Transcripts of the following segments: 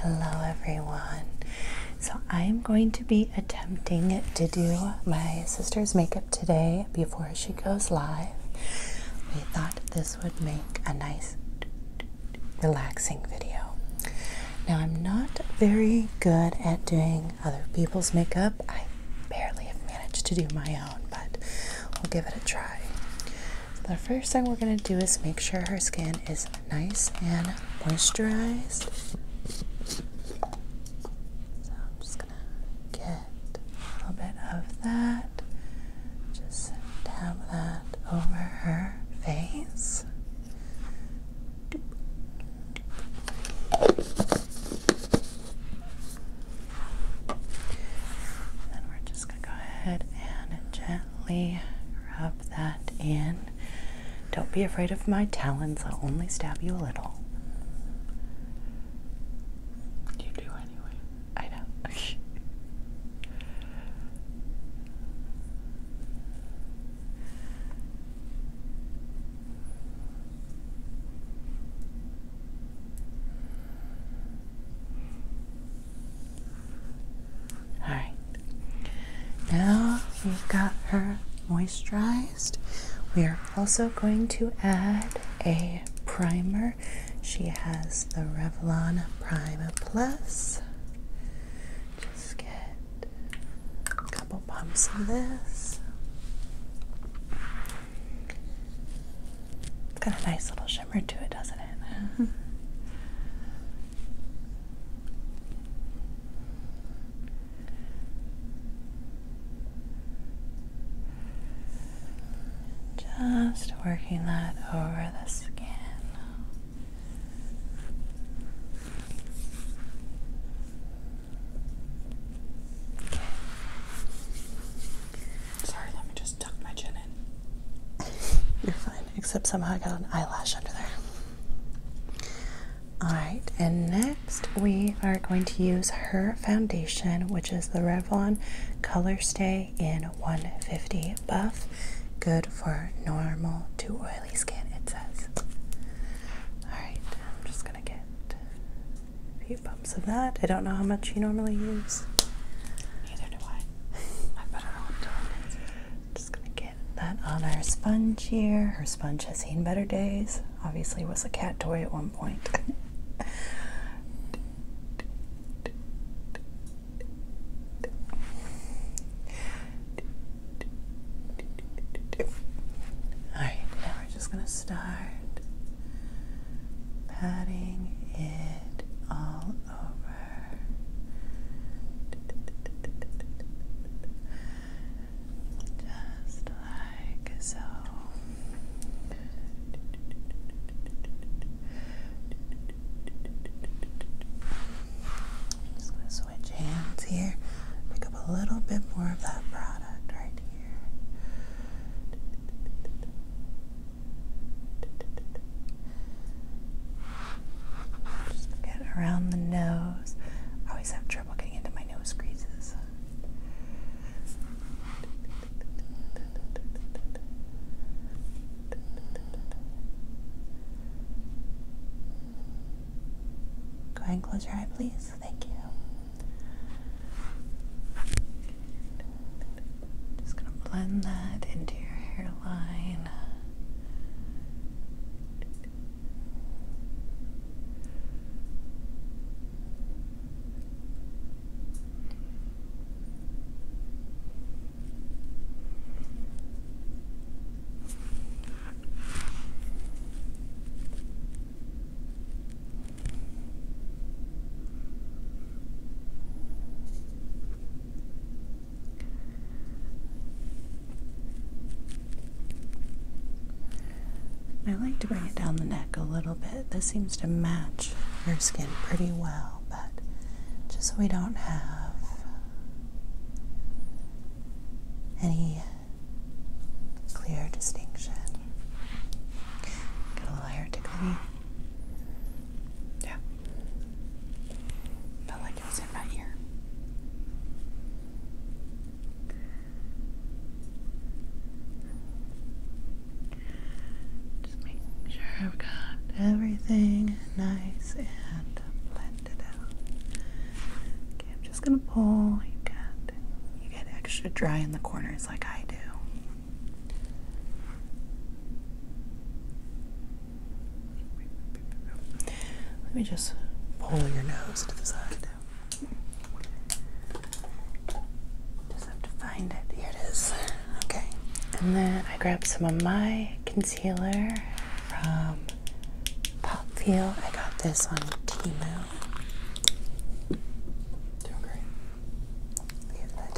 Hello everyone. So I'm going to be attempting to do my sister's makeup today before she goes live. We thought this would make a nice relaxing video. Now I'm not very good at doing other people's makeup. I barely have managed to do my own, but we'll give it a try the first thing we're going to do is make sure her skin is nice and moisturized. So I'm just going to get a little bit of that. Just dab that over her face. And we're just going to go ahead and gently rub that in. Don't be afraid of my talons, I'll only stab you a little. You do anyway. I know. Alright. Now we've got her moisturized. We are also going to add a primer. She has the Revlon Prime Plus. Just get a couple pumps of this. It's Got a nice little shine shimmer to it, doesn't it? Just working that over the skin. Sorry, let me just tuck my chin you're fine, except somehow I got an eyelash under there. Alright, and next we are going to use her foundation, which is the Revlon Color Stay in 150 Buff. Good for normal to oily skin, it says. Alright, I'm just gonna get a few bumps of that. I don't know how much you normally use. Neither do I. I better not do Just gonna get that on our sponge here. Her sponge has seen better days. Obviously, was a cat toy at one point. Alright, now we're just going to start patting it all over just like so. I'm switch hands here. Pick up a little bit more of that product right here. Just get around the nose. I always have trouble getting into my nose creases. Go ahead close your eye, please. Thank you. Just gonna blend that into your hairline. I like to bring it down the neck a little bit. This seems to match your skin pretty well, but just so we don't have any clear distinction. a little hair tickly. Yeah. Felt like it was in my Just making sure I've got everything nice and blended out. Okay, I'm just gonna pull. You got you get extra dry in the corners like I do. Let me just pull your nose to the side. Just have to find it. Here it is. Okay. And then I grab some of my concealer from Pop Feel. I got this on Temu. Doing great. You let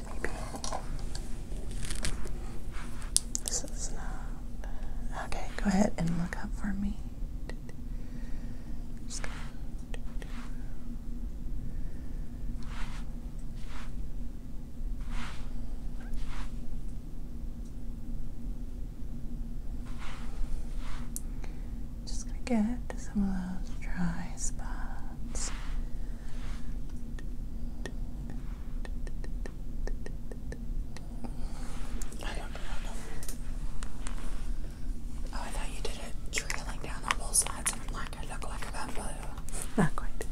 This is not. Okay, go ahead and look up for me. Just gonna... Just gonna get some of those dry spots not Oh, I thought you did it trailing down on both and like, I look like a buffalo. Not quite.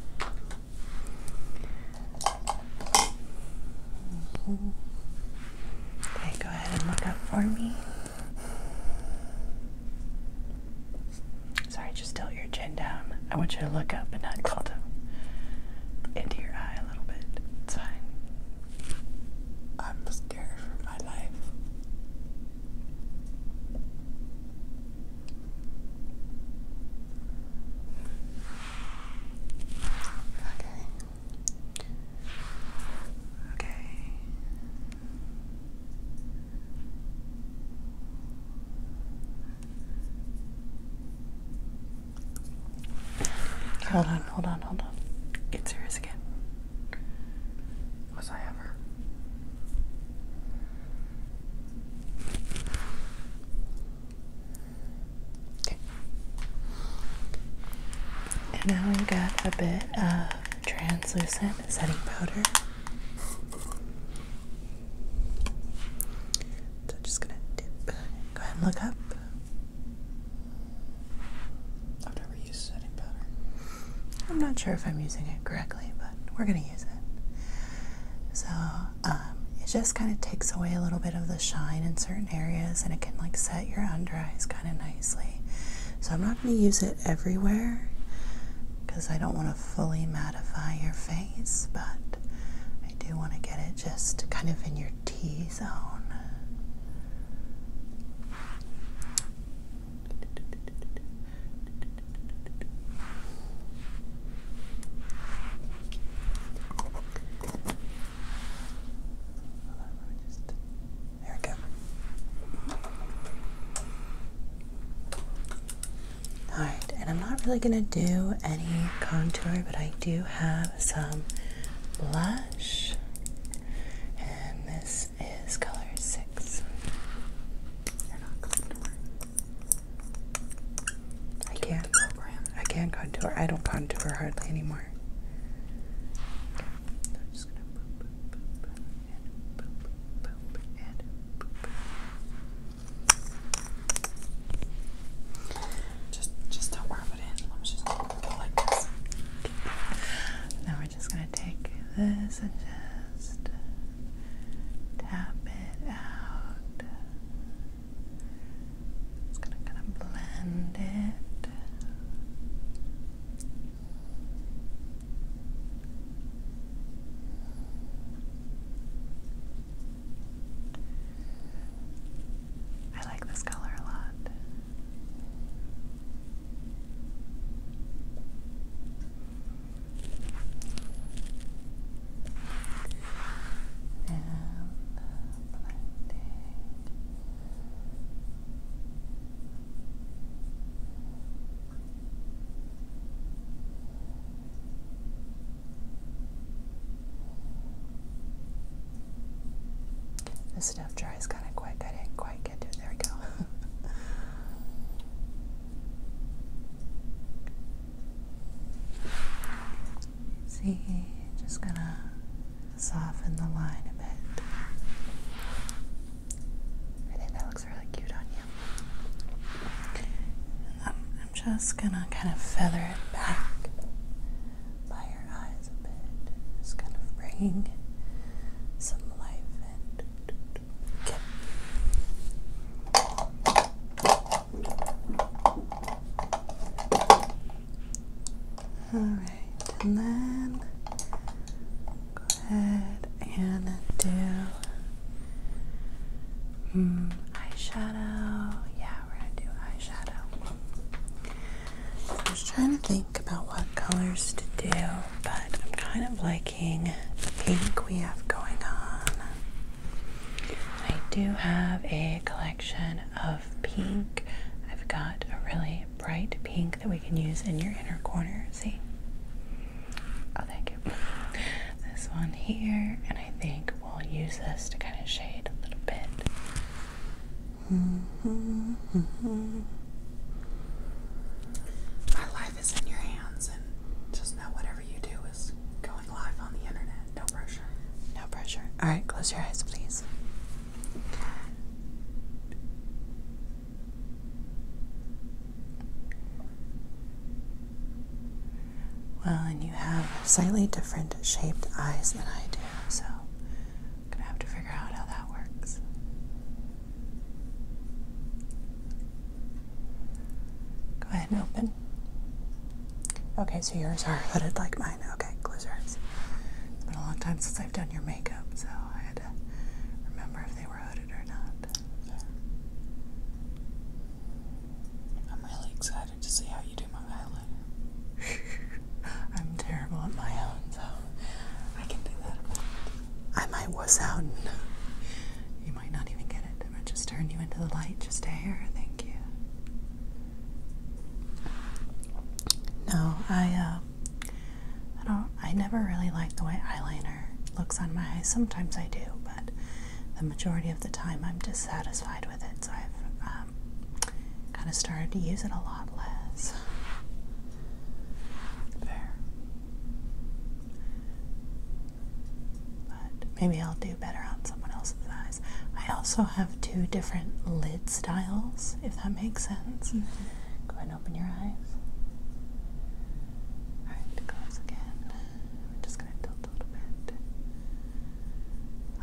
Okay, go ahead and look up for me. Sorry, just tilt your chin down. I want you to look up and not tilt them into your eye a little bit. It's I'm scared for my life. Okay. Okay. Hold on, hold on, hold on. Get serious again. Was I ever? Okay. And now we got a bit of translucent setting powder. I'm just gonna dip. Go ahead and look up. I've never used setting powder. I'm not sure if I'm using it correctly, but we're gonna use it. So um, it just kind of takes away a little bit of the shine in certain areas, and it can like set your under eyes kind of nicely. So I'm not going to use it everywhere because I don't want to fully mattify your face, but I do want to get it just kind of in your T zone. There we go. Alright, and I'm not really going to do any contour, but I do have some blush. And this is color 6. You're not contour. I can't. contour. I don't contour hardly anymore and boop, Just, just don't rub it Now we're just gonna take this and just tap it out. Just gonna kind of blend it. I like this color a lot. And uh, blending. The stuff dries kind of quick. I didn't quite get to it. There we go. See, just gonna soften the line a bit. I think that looks really cute on you. Um, I'm, just gonna kind of feather it back by your eyes a bit, just kind of bringing some life and get. All right, and then Go ahead and do mm, eyeshadow. Yeah, we're gonna do eyeshadow. So I was trying to think about what colors to do, but I'm kind of liking the pink we have going on. I do have a collection of pink. I've got a really bright pink ink that we can use in your inner corner. See? Oh, thank you. This one here, and I think we'll use this to kind of shade a little bit. Mm -hmm, mm -hmm. My life is in your hands, and just know whatever you do is going live on the internet. No pressure. No pressure. All right, close your eyes, please. Well, and you have slightly different shaped eyes than I do, so I'm gonna have to figure out how that works. Go ahead and open. Okay, so yours are hooded like mine. Okay, close your It's been a long time since I've done your makeup, so I had to remember if they they were hooded or not. I'm really excited to see how you do my eyeliner. I'm terrible at my own, so I can do that. I might was out. And you might not even get it. I just turn you into the light just a hair. Thank you. No, I uh, I don't I never really like the way eyeliner looks on my eyes. Sometimes I do, but the majority of the time I'm dissatisfied with it, so I've um, kind of started to use it a lot less. There. But maybe I'll do better on someone else's eyes. I also have two different lid styles, if that makes sense. Mm -hmm open your eyes. Alright, close again. We're just going to tilt a little bit.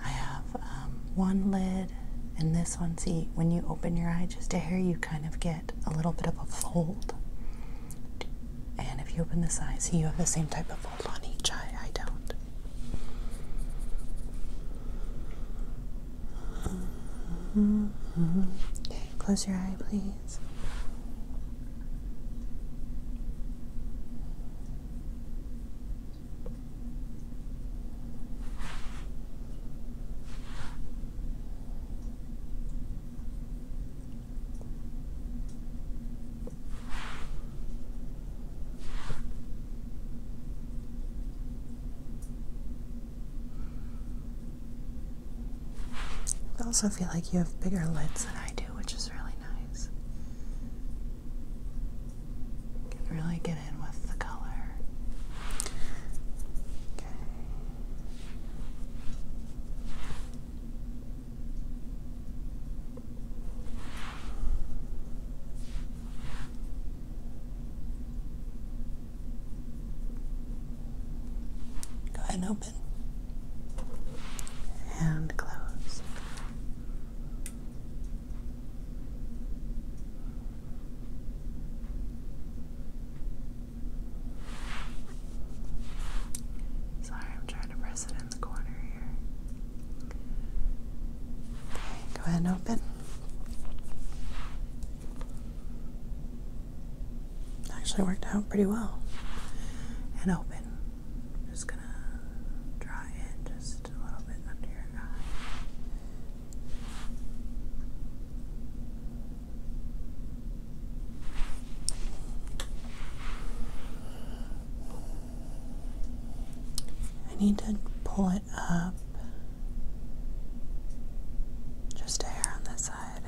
I have um, one lid and this one. See, when you open your eye just to here, you kind of get a little bit of a fold. And if you open this eye, see, you have the same type of fold on each eye. I don't. Okay, close your eye, please. I also feel like you have bigger lids than I do, which is really nice. can really get in with the color. Okay. Go ahead and open and close. Sorry, I'm trying to press it in the corner here. Okay, go ahead and open. Actually worked out pretty well. And open. Just gonna dry it just a little bit under your eye. I need to pull it up. Just a hair on this side.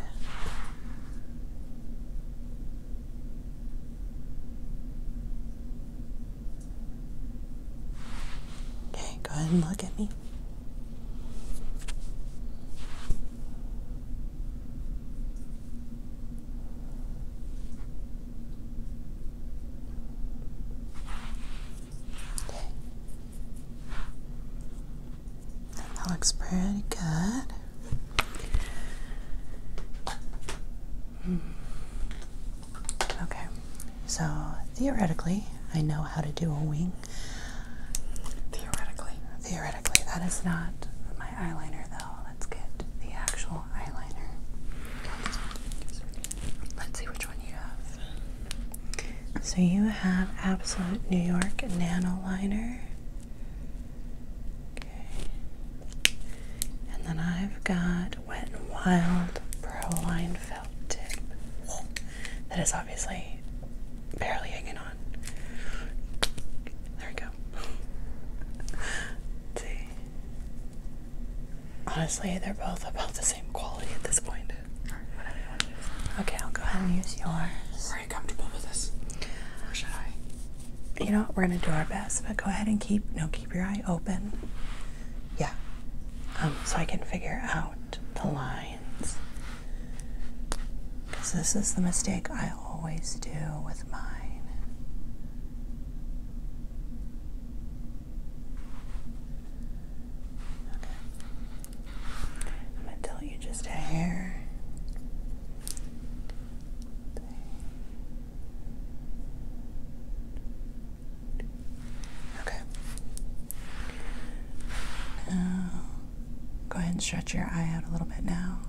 Okay, go ahead and look at me. That looks pretty good. Hmm. Okay, so theoretically, I know how to do a wing. Theoretically. Theoretically, that is not my eyeliner though. Let's get the actual eyeliner. Let's see which one you have. So you have Absolute New York Nano Liner. Okay. And then I've got Wet and Wild Pro Line Felt Tip. That is obviously barely hanging on. There we go. see. Honestly, they're both about the same quality at this point. Okay, I'll go ahead and use yours. Are you comfortable with this? Or should I? You know what? We're gonna do our best, but go ahead and keep no keep your eye open. Yeah. Um, so I can figure out the lines. Because this is the mistake I always do with mine. I'm gonna tell you just a hair. Okay. Now, go ahead and stretch your eye out a little bit now.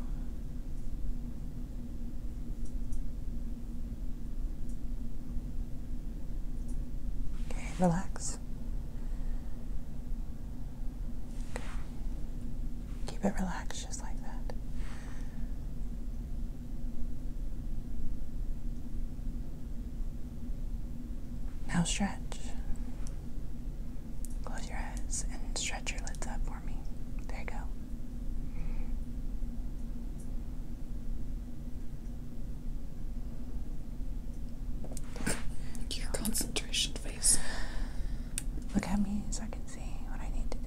Okay, relax. Good. Keep it relaxed just like that. Now stretch. Close your eyes and stretch your lids up for me. There you go. Your concentration face. Look at me so I can see what I need to do.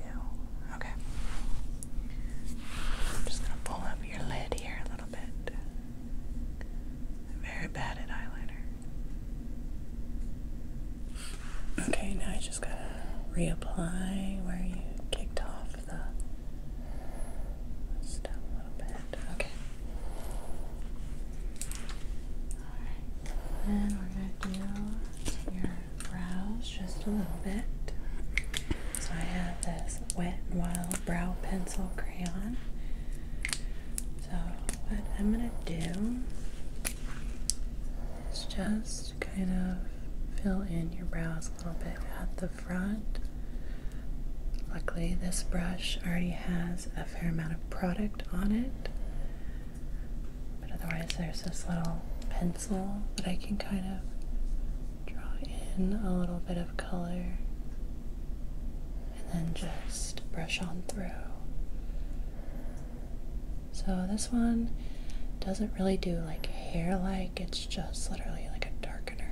Okay. I'm just gonna pull up your lid here a little bit. very bad at eyeliner. Okay, now I just gotta reapply where you kicked off off a little bit. Okay. Alright. Then we're going to do your brows just a little bit. So I have this Wet and Wild Brow Pencil Crayon. So what I'm going to do is just kind of fill in your brows a little bit at the front. Luckily this brush already has a fair amount of product on it. But otherwise there's this little pencil that I can kind of draw in a little bit of color and then just brush on through. So this one doesn't really do like hair like it's just literally like a darkener.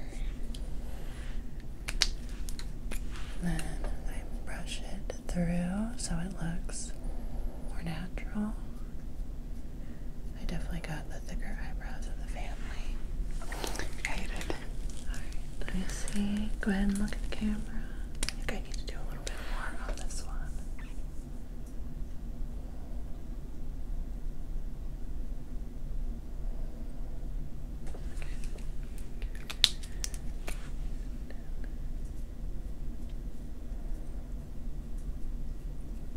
then I brush it through so it looks more natural. I definitely got the thicker eyebrows of the family. I hate Alright, let me see. Go ahead and look at the camera. I think I need to do a little bit more on this one.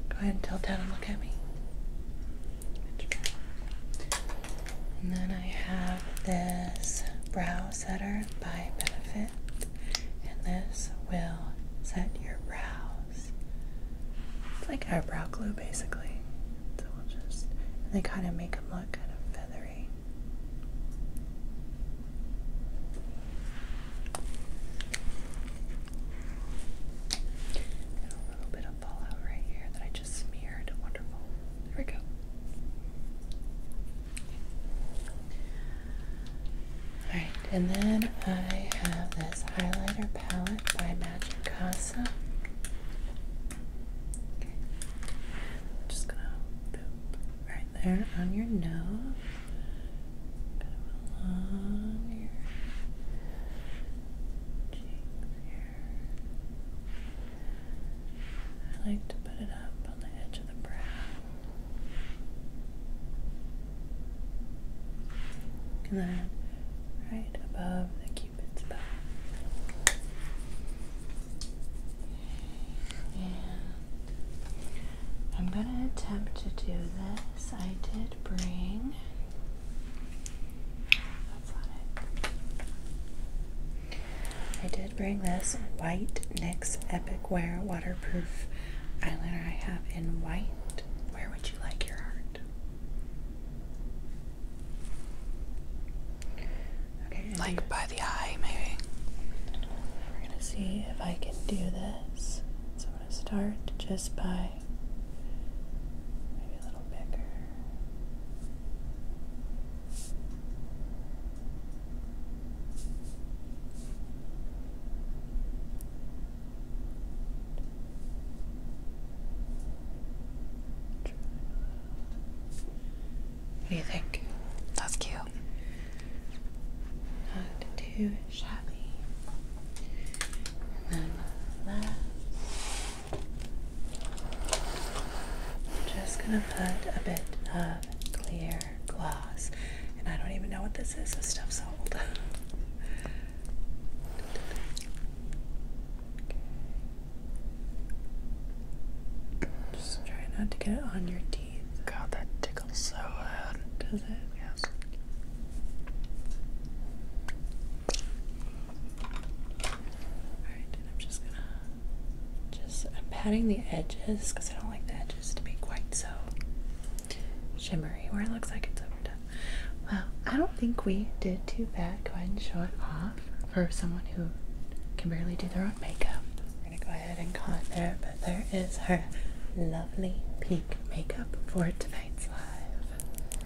Go ahead and tilt down and look at me. And then I have this brow setter by Benefit, and this will set your brow it's like eyebrow glue basically. So we'll just, they kind of make them look kind of feathery. a little bit of fallout right here that I just smeared. Wonderful. There we go. Alright, and then I have this highlighter palette by Magic Casa. just gonna boop right there on your nose. along your cheeks here. I like to put it up on the edge of the brow. And then right above the cupid's bow. I'm going to attempt to do this. I did bring. I did bring this white NYX Epic Wear waterproof eyeliner I have in white. Where would you like your heart? Like by the eye, maybe. We're gonna see if I can do this. So I'm gonna start just by maybe a little bigger. What do you think? That's cute. Not too shabby. then that. I'm just gonna put a bit of clear gloss. And I don't even know what this is. This stuff's old. Just try not to get it on your teeth. God, that tickles so bad. Does it? Yes. Alright, and I'm just gonna just I'm patting the edges because I don't like the edges to be quite so shimmery where it looks like it's overdone. Well, I don't think we did too bad. Go ahead and show it off for someone who can barely do their own makeup. We're gonna go ahead and call it there, but there is her lovely pink makeup for tonight's live.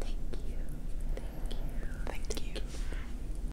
Thank you. Thank you. Thank, you.